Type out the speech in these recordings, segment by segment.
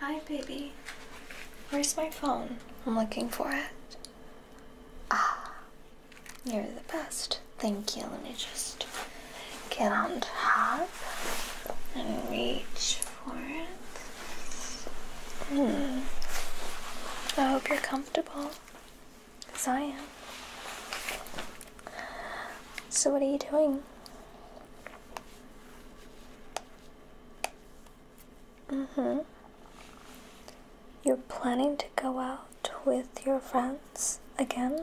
Hi, baby. Where's my phone? I'm looking for it. Ah, you're the best. Thank you. Let me just get on top and reach for it. Hmm. I hope you're comfortable, because I am. So, what are you doing? Mm-hmm. You're planning to go out with your friends again?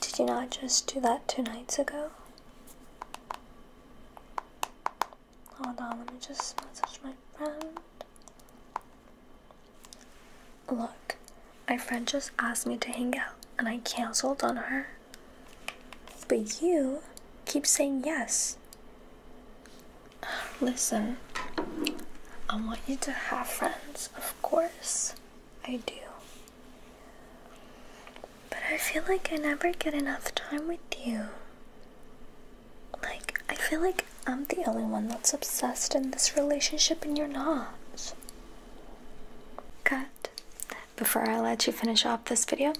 Did you not just do that two nights ago? Hold on, let me just message my friend. Look, my friend just asked me to hang out and I canceled on her. But you keep saying yes. Listen, I want you to have friends, of course. I do. But I feel like I never get enough time with you. Like, I feel like I'm the only one that's obsessed in this relationship and you're not. Cut before I let you finish off this video,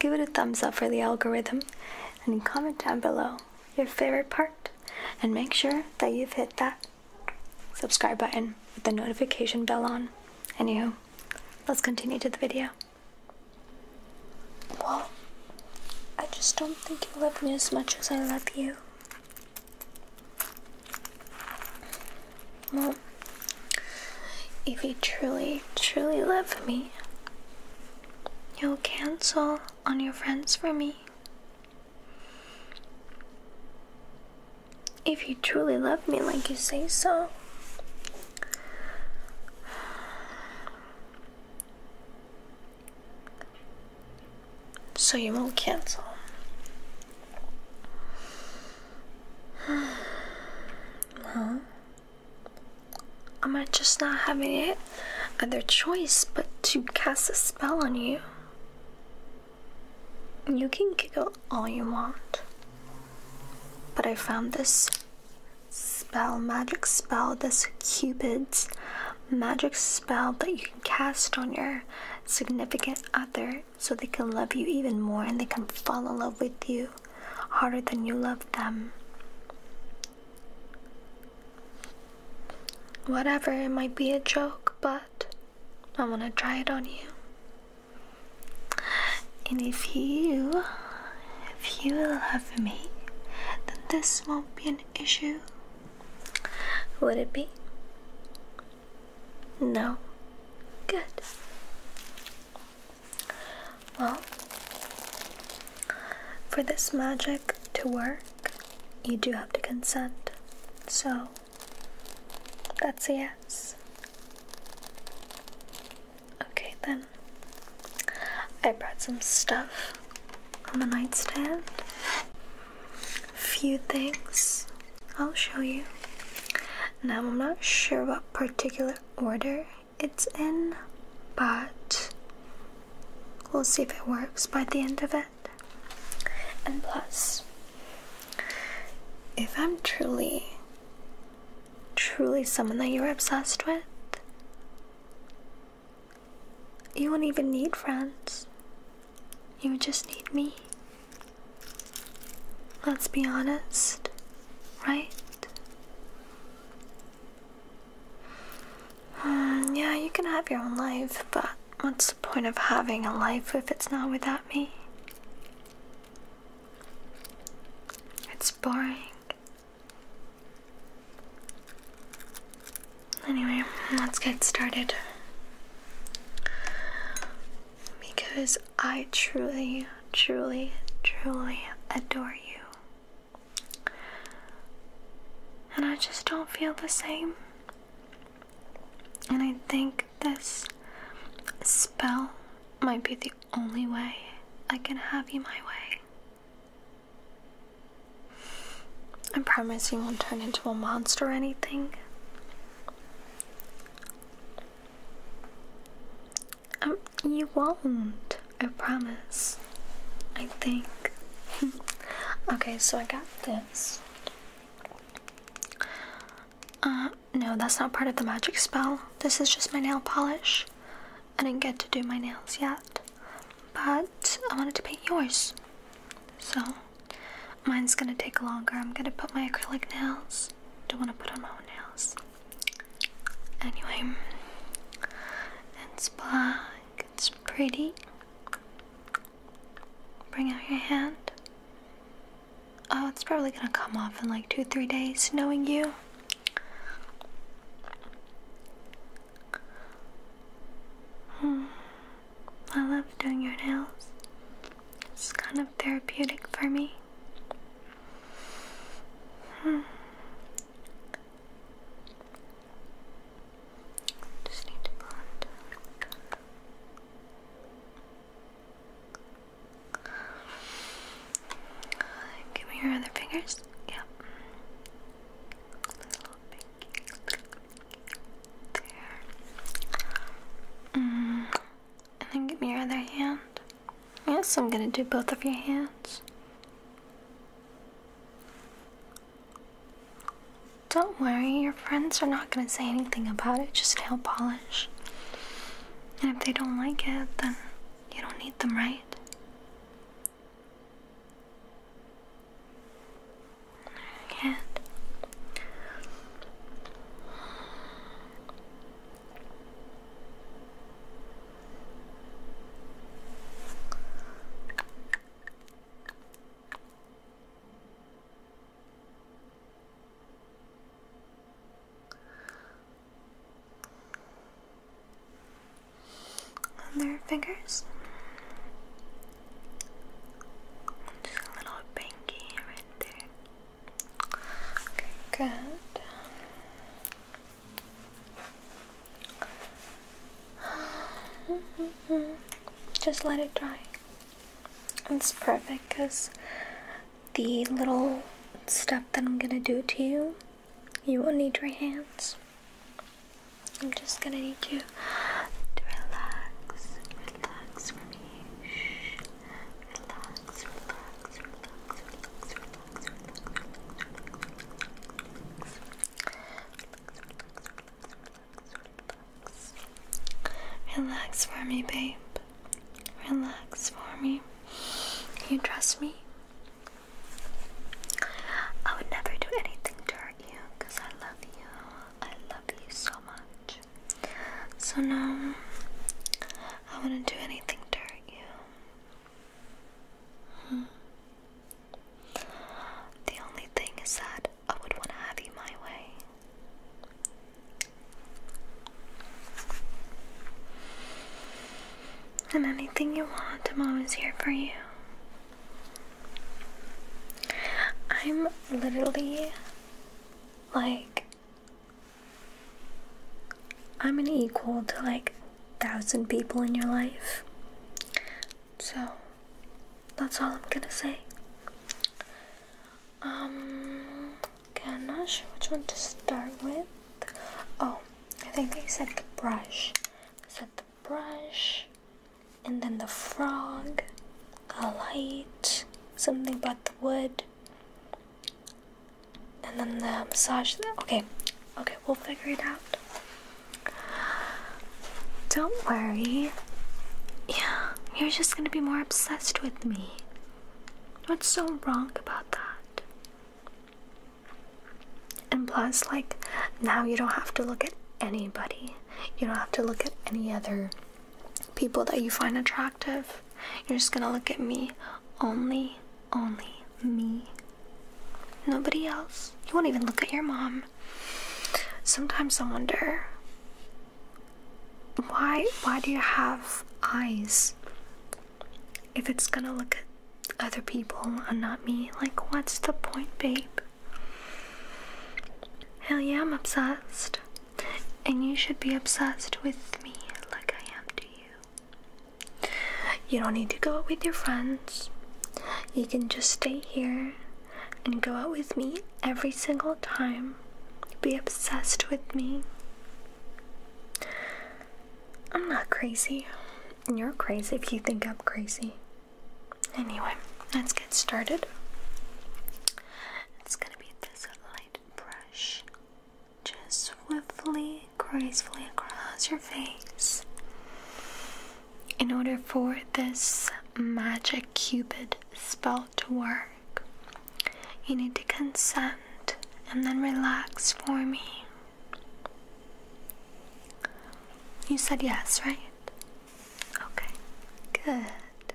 give it a thumbs up for the algorithm and comment down below your favorite part. And make sure that you've hit that subscribe button with the notification bell on. Anywho, let's continue to the video. Well, I just don't think you love me as much as I love you. Well, if you truly, truly love me, you'll cancel on your friends for me. If you truly love me like you say so, so you will cancel no. Am I just not having it other choice but to cast a spell on you? You can giggle all you want. But I found this spell, magic spell, this Cupid's magic spell that you can cast on your significant other so they can love you even more and they can fall in love with you harder than you love them. Whatever, it might be a joke, but I want to try it on you. And if you, if you love me, then this won't be an issue. Would it be? No. Good. Well, for this magic to work, you do have to consent. So, that's a yes. Okay, then. I brought some stuff on the nightstand. A few things I'll show you. Now, I'm not sure what particular order it's in, but we'll see if it works by the end of it. And plus, if I'm truly, truly someone that you're obsessed with, you won't even need friends. You would just need me. Let's be honest, right? Uh, yeah, you can have your own life, but what's the point of having a life if it's not without me? It's boring. Anyway, let's get started. Because I truly, truly, truly adore you. And I just don't feel the same. And I think this spell might be the only way I can have you my way. I promise you won't turn into a monster or anything. Um, you won't, I promise. I think. okay, so I got this. Uh, no, that's not part of the magic spell. This is just my nail polish. I didn't get to do my nails yet, but I wanted to paint yours. So, mine's gonna take longer. I'm gonna put my acrylic nails don't want to put on my own nails. Anyway, it's black, it's pretty. Bring out your hand. Oh, it's probably gonna come off in like two, three days, knowing you. Hmm. I love doing your nails. It's kind of therapeutic for me. Hmm. Just need to Give me your other fingers. Yep. There. Mm. And then give me your other hand. Yes, I'm gonna do both of your hands. Don't worry, your friends are not gonna say anything about it, just nail polish. And if they don't like it, then you don't need them, right? Hand on their fingers. Just a little pinky right there. Okay, good. Just let it dry. It's perfect because the little stuff that I'm gonna do to you, you will not need your hands. I'm just gonna need you to relax, relax for me relax, relax, relax, relax, relax, relax, relax, relax, relax, for me, babe. Relax for me. You trust me? I would never do anything to hurt you because I love you. I love you so much. So now I wouldn't do anything to hurt you. Hmm. The only thing is that I would want to have you my way. And anything you want, I'm always here for you. I'm literally like I'm an equal to like thousand people in your life. So that's all I'm gonna say. Um I'm not sure which one to start with. Oh, I think I said the brush. I said the brush and then the frog, a light, something about the wood, and then the massage. Okay, okay, we'll figure it out. Don't worry. Yeah, you're just gonna be more obsessed with me. What's so wrong about that? And plus, like, now you don't have to look at anybody. You don't have to look at any other people that you find attractive. You're just gonna look at me. Only, only me. Nobody else. You won't even look at your mom. Sometimes I wonder why why do you have eyes if it's gonna look at other people and not me? Like what's the point, babe? Hell yeah, I'm obsessed and you should be obsessed with me like I am to you. You don't need to go out with your friends. You can just stay here and go out with me every single time. Be obsessed with me. I'm not crazy. and You're crazy if you think I'm crazy. Anyway, let's get started. It's gonna be this light brush just swiftly, gracefully across your face in order for this magic cupid spell to work. You need to consent and then relax for me. You said yes, right? Okay, good.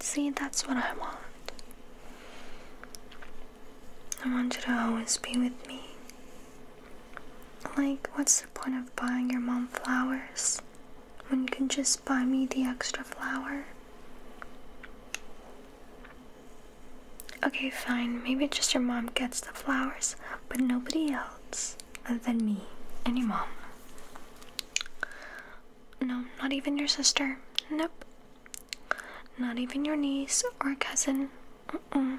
See, that's what I want. I want you to always be with me. Like, what's the point of buying your mom flowers when you can just buy me the extra flower? Okay, fine. Maybe just your mom gets the flowers, but nobody else than me and your mom. No, not even your sister. Nope. Not even your niece or cousin. Mm -mm.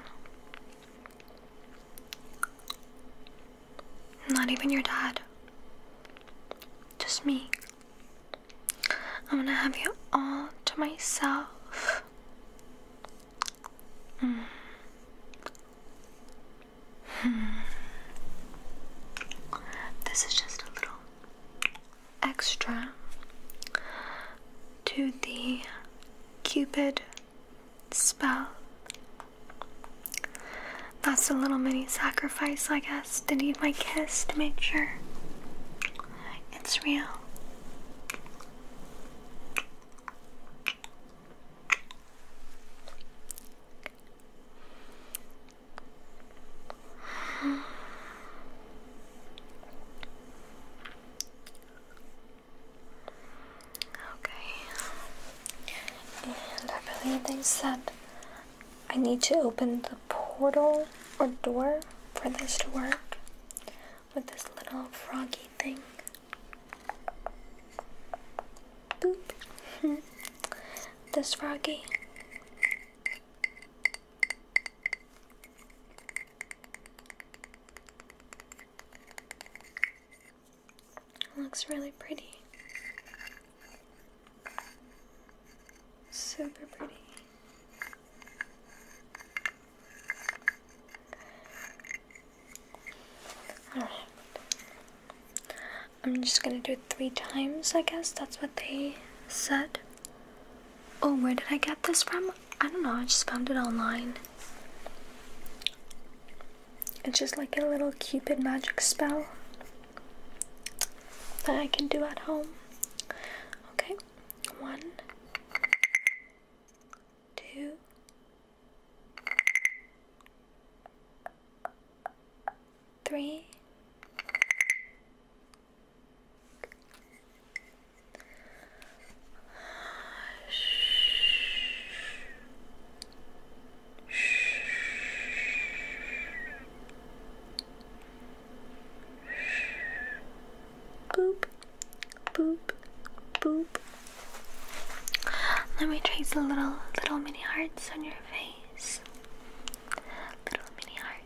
Not even your dad. Just me. I'm gonna have you all to myself. Mm. Hmm. This is just a little extra to the Cupid spell. That's a little mini sacrifice, I guess, to need my kiss to make sure it's real. Okay. And I believe they said I need to open the portal or door for this to work with this little froggy thing. Boop. this froggy looks really pretty. Super pretty. Alright. I'm just gonna do it three times, I guess. That's what they said. Oh, where did I get this from? I don't know, I just found it online. It's just like a little cupid magic spell that I can do at home. Okay, one, two, three, Boop, boop, boop. Let me trace a little, little mini hearts on your face. Little mini hearts.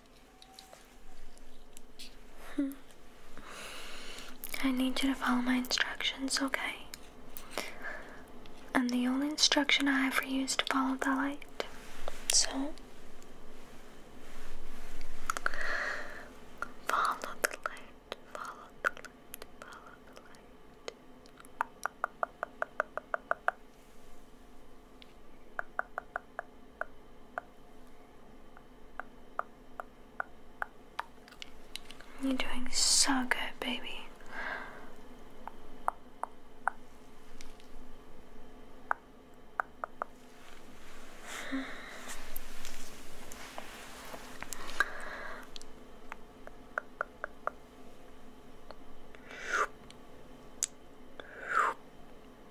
Hmm. I need you to follow my instructions, okay? And the only instruction I have for you is to follow the light. So, follow the light, follow the light, follow the light. You're doing so good, baby.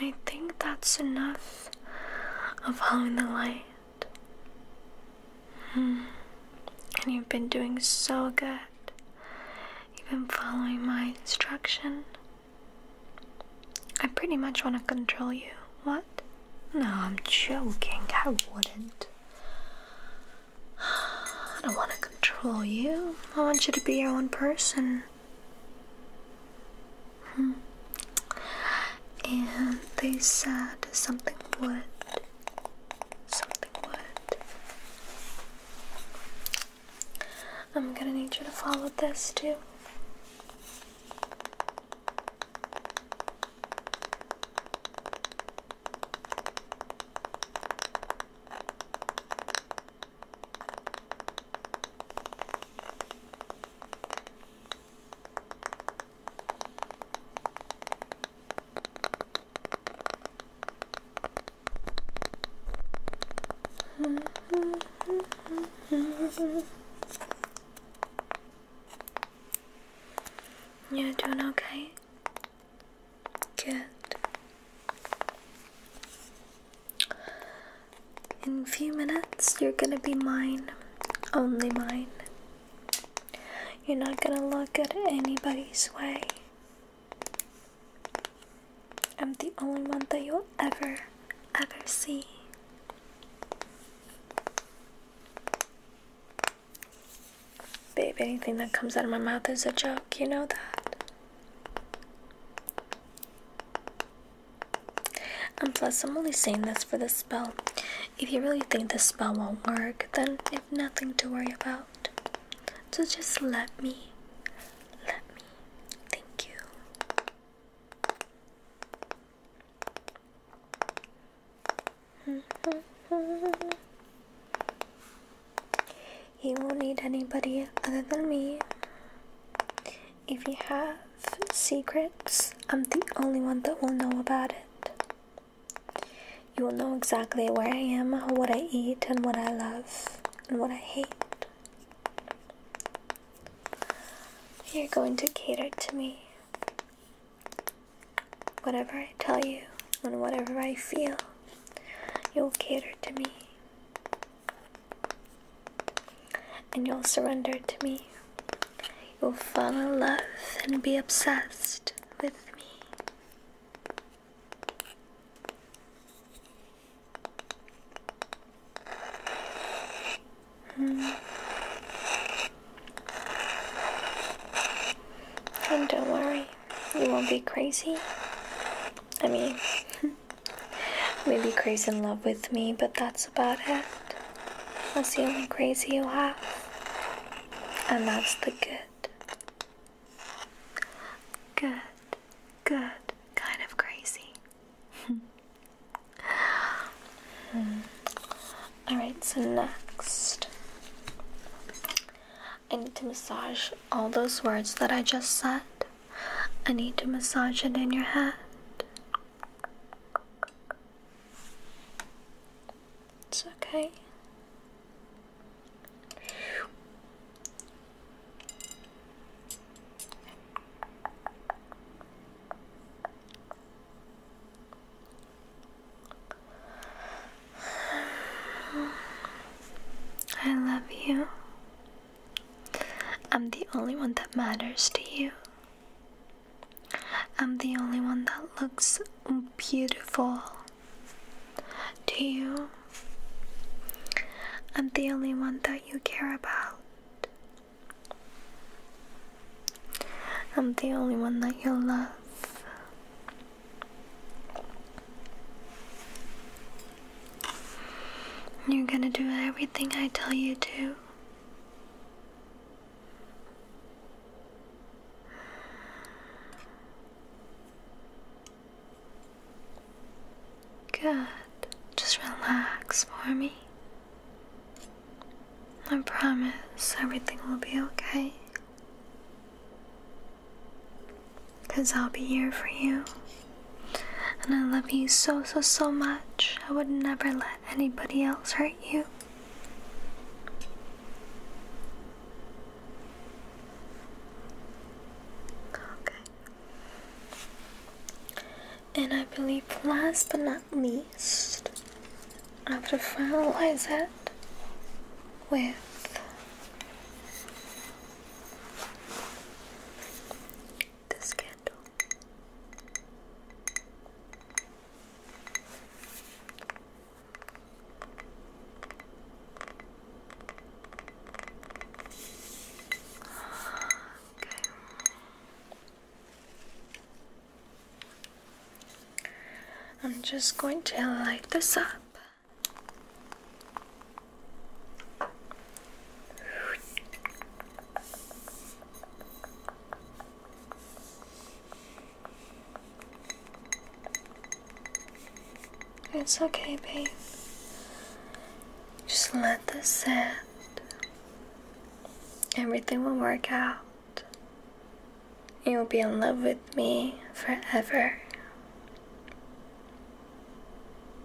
I think that's enough of following the light. Hmm. And you've been doing so good. You've been following my instruction. I pretty much want to control you. What? No, I'm joking. I wouldn't. I don't want to control you. I want you to be your own person. Hmm. And they said something would. Something would. I'm gonna need you to follow this too. You're doing okay? Good. In a few minutes, you're gonna be mine, only mine. You're not gonna look at anybody's way. I'm the only one that you'll ever, ever see. Babe, anything that comes out of my mouth is a joke, you know that. And plus, I'm only saying this for the spell. If you really think the spell won't work, then you have nothing to worry about. So just let me, let me, thank you. You won't need anybody other than me. If you have secrets, I'm the only one that will know about it. You will know exactly where I am, what I eat, and what I love, and what I hate. You're going to cater to me. Whatever I tell you, and whatever I feel, you'll cater to me and you'll surrender to me. You'll fall in love and be obsessed with me. Hmm. And don't worry, you won't be crazy. I mean, maybe crazy in love with me, but that's about it. That's the only crazy you have. And that's the good. Good, good, kind of crazy. Hmm. Alright, so next. I need to massage all those words that I just said. I need to massage it in your head. It's okay. I love you. I'm the only one that matters to you. I'm the only one that looks beautiful to you. I'm the only one that you care about. I'm the only one that you love. You're gonna do everything I tell you to. Good. Just relax for me. I promise everything will be okay. Because I'll be here for you. And I love you so, so, so much. I would never let anybody else hurt you. Okay. And I believe, last but not least, I have to finalize it with this candle. Okay. I'm just going to light this up. It's okay, babe. Just let this sit. Everything will work out. You'll be in love with me forever.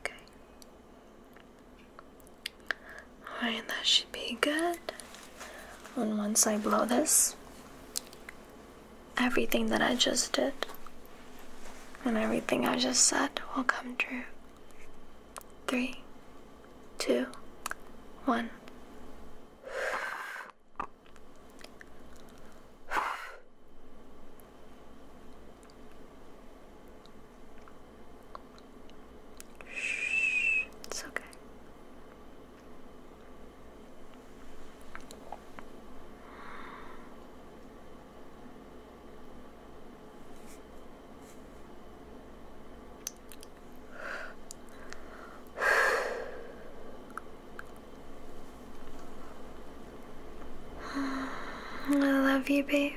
Okay. Alright, that should be good. And once I blow this, everything that I just did and everything I just said will come true. Three, two, one. Shh, it's okay. I love you, babe.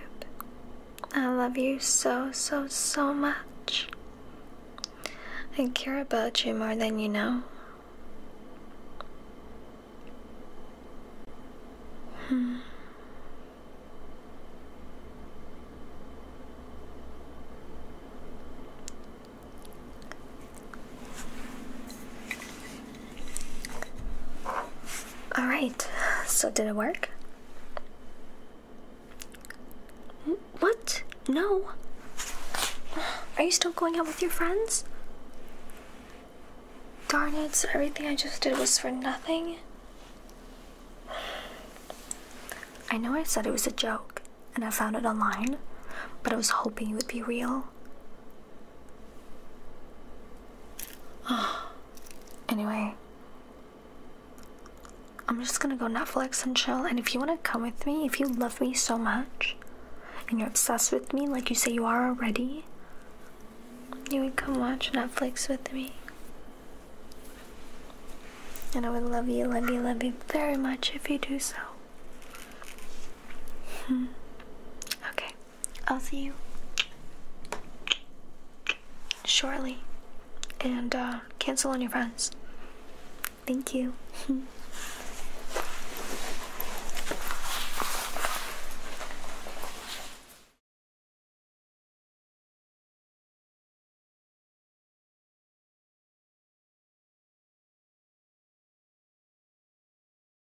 I love you so, so, so much. I care about you more than you know. Alright, so did it work? What? No. Are you still going out with your friends? Darn it, so everything I just did was for nothing. I know I said it was a joke and I found it online, but I was hoping it would be real. anyway, I'm just gonna go Netflix and chill. And if you wanna come with me, if you love me so much and you're obsessed with me like you say you are already, you can come watch Netflix with me. And I would love you, love you, love you very much if you do so. Hmm. okay. I'll see you shortly. And uh, cancel on your friends. Thank you.